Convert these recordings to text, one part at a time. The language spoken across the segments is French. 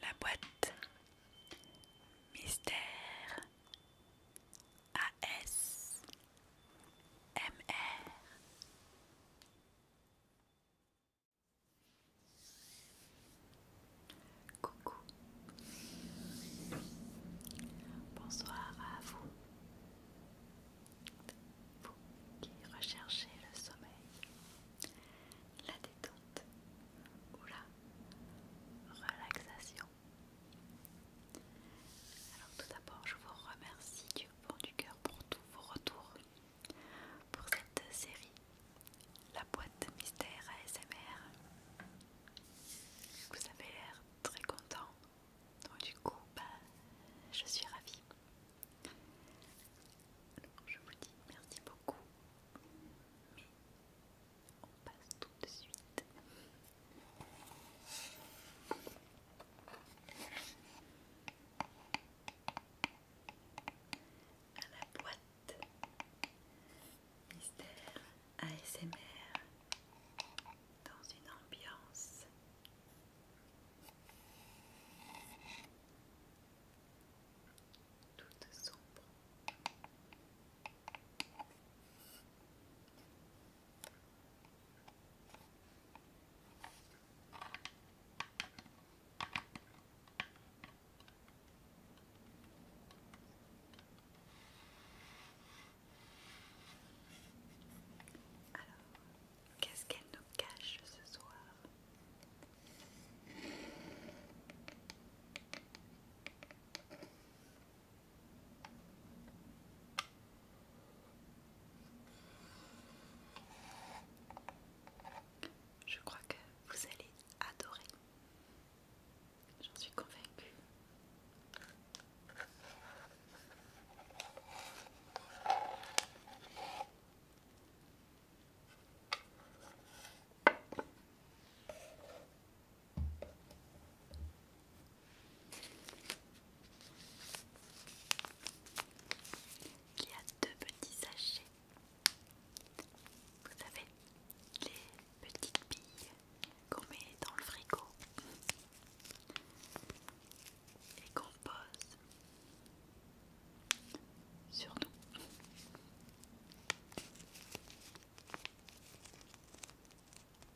La boîte Mystère AS MR Coucou. Bonsoir à vous. Vous qui recherchez le sommeil, la détente ou la relaxation. Alors tout d'abord, je vous remercie du fond du cœur pour tous vos retours pour cette série La boîte mystère ASMR. Vous avez l'air très content, donc du coup, bah, je suis ravie. je vous dis merci beaucoup, on passe tout de suite à la boîte mystère ASMR dans une ambiance toute sombre. Alors, qu'est-ce qu'elle nous cache ce soir je crois que vous allez adorer. J'en suis convaincue. Il y a deux petits sachets. Vous savez, les petites billes qu'on met dans le frigo et qu'on pose sur nous.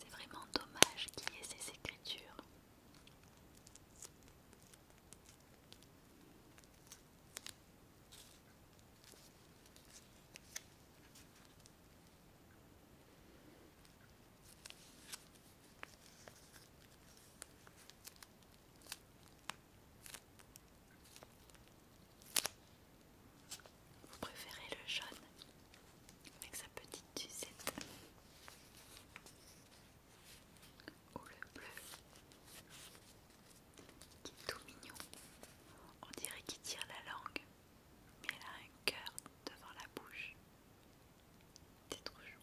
C'est vraiment dommage qu'il y ait ces écritures. Vous préférez le jaune avec sa petite Suzette ou le bleu qui est tout mignon. On dirait qu'il tire la langue, mais elle a un cœur devant la bouche. C'est trop chou.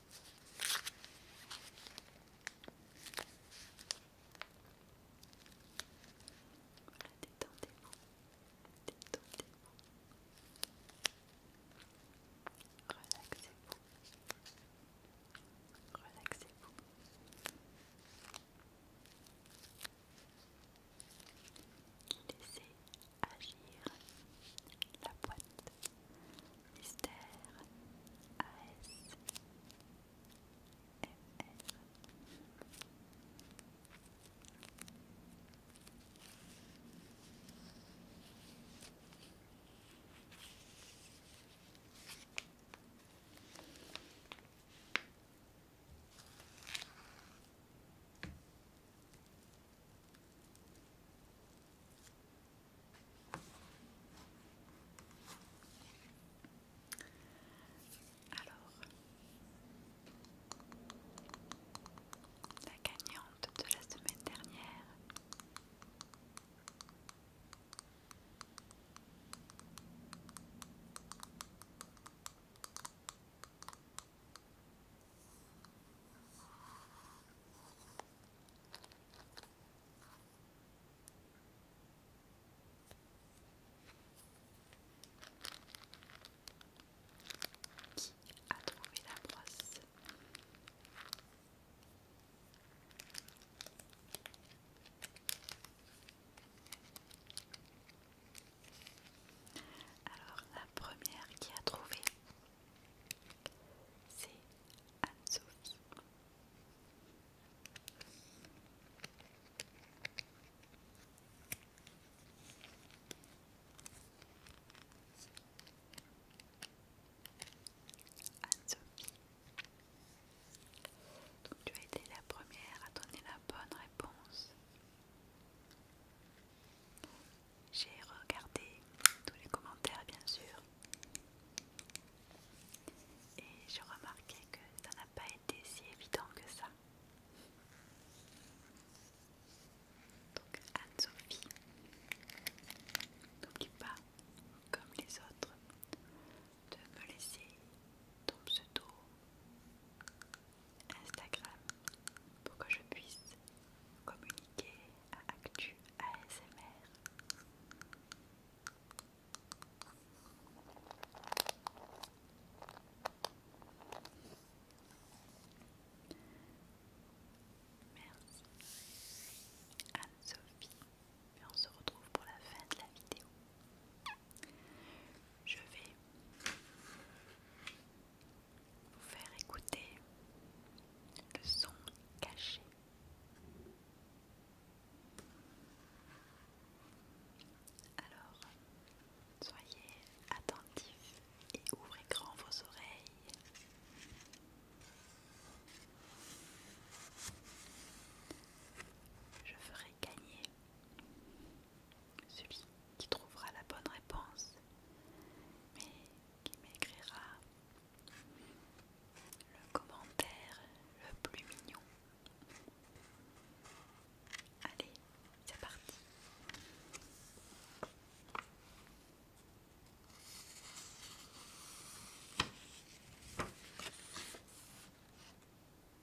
détendez-vous, détendez-vous. Relaxez-vous, relaxez-vous. Laissez agir la boîte. Mystère AS alors, la gagnante de la semaine dernière. Qui a trouvé la brosse alors la première qui a trouvé c'est Anne-Sophie. Donc tu as été la première à donner la bonne réponse. J'ai regardé tous les commentaires bien sûr et j'ai remarqué que ça n'a pas été si évident que ça. Donc Anne-Sophie, n'oublie pas, comme les autres, de me laisser ton pseudo Instagram pour que je puisse communiquer à Actu ASMR. Merci Anne-Sophie et on se retrouve pour la fin de la vidéo. Je vais vous faire écouter le son caché. Alors, soyez attentifs et ouvrez grand vos oreilles. Je ferai gagner celui qui trouvera la bonne réponse, mais qui m'écrira le commentaire le plus mignon. Allez, c'est parti.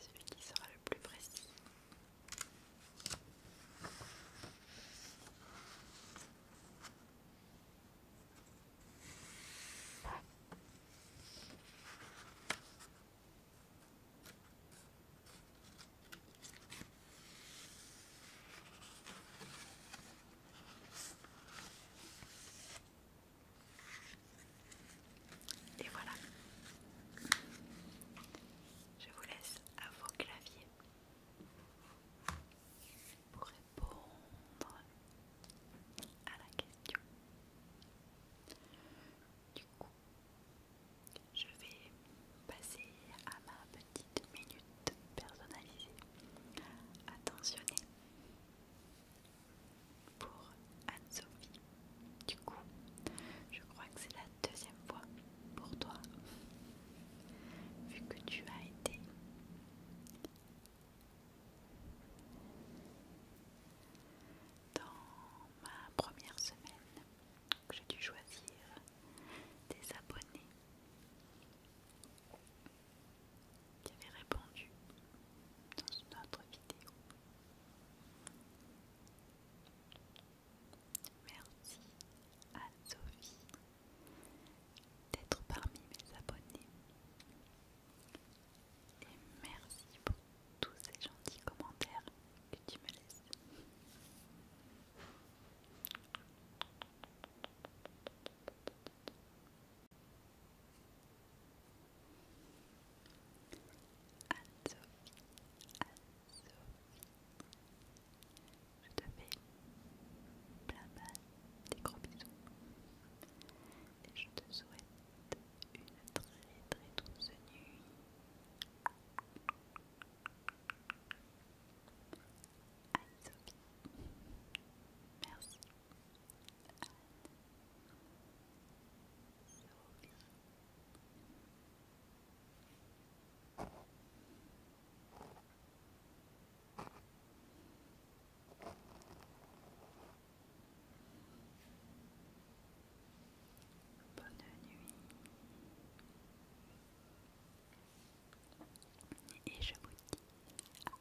celui qui sera le plus précis. Et voilà. Je vous laisse à vos claviers pour répondre à la question. Du coup, je vais passer à ma petite minute personnalisée. Attentionné pour Anne-Sophie. Du coup, je crois que c'est la deuxième fois pour toi, vu que tu as été dans ma première semaine que j'ai dû choisir des abonnés qui avait répondu dans une autre vidéo. Merci à Sophie d'être parmi mes abonnés. Et merci pour tous ces gentils commentaires que tu me laisses. Anne-Sophie, sophie je te fais plein mal, des gros bisous et je te souhaite une très très douce nuit. Anne-Sophie, merci. Bonne nuit. Et je vous dis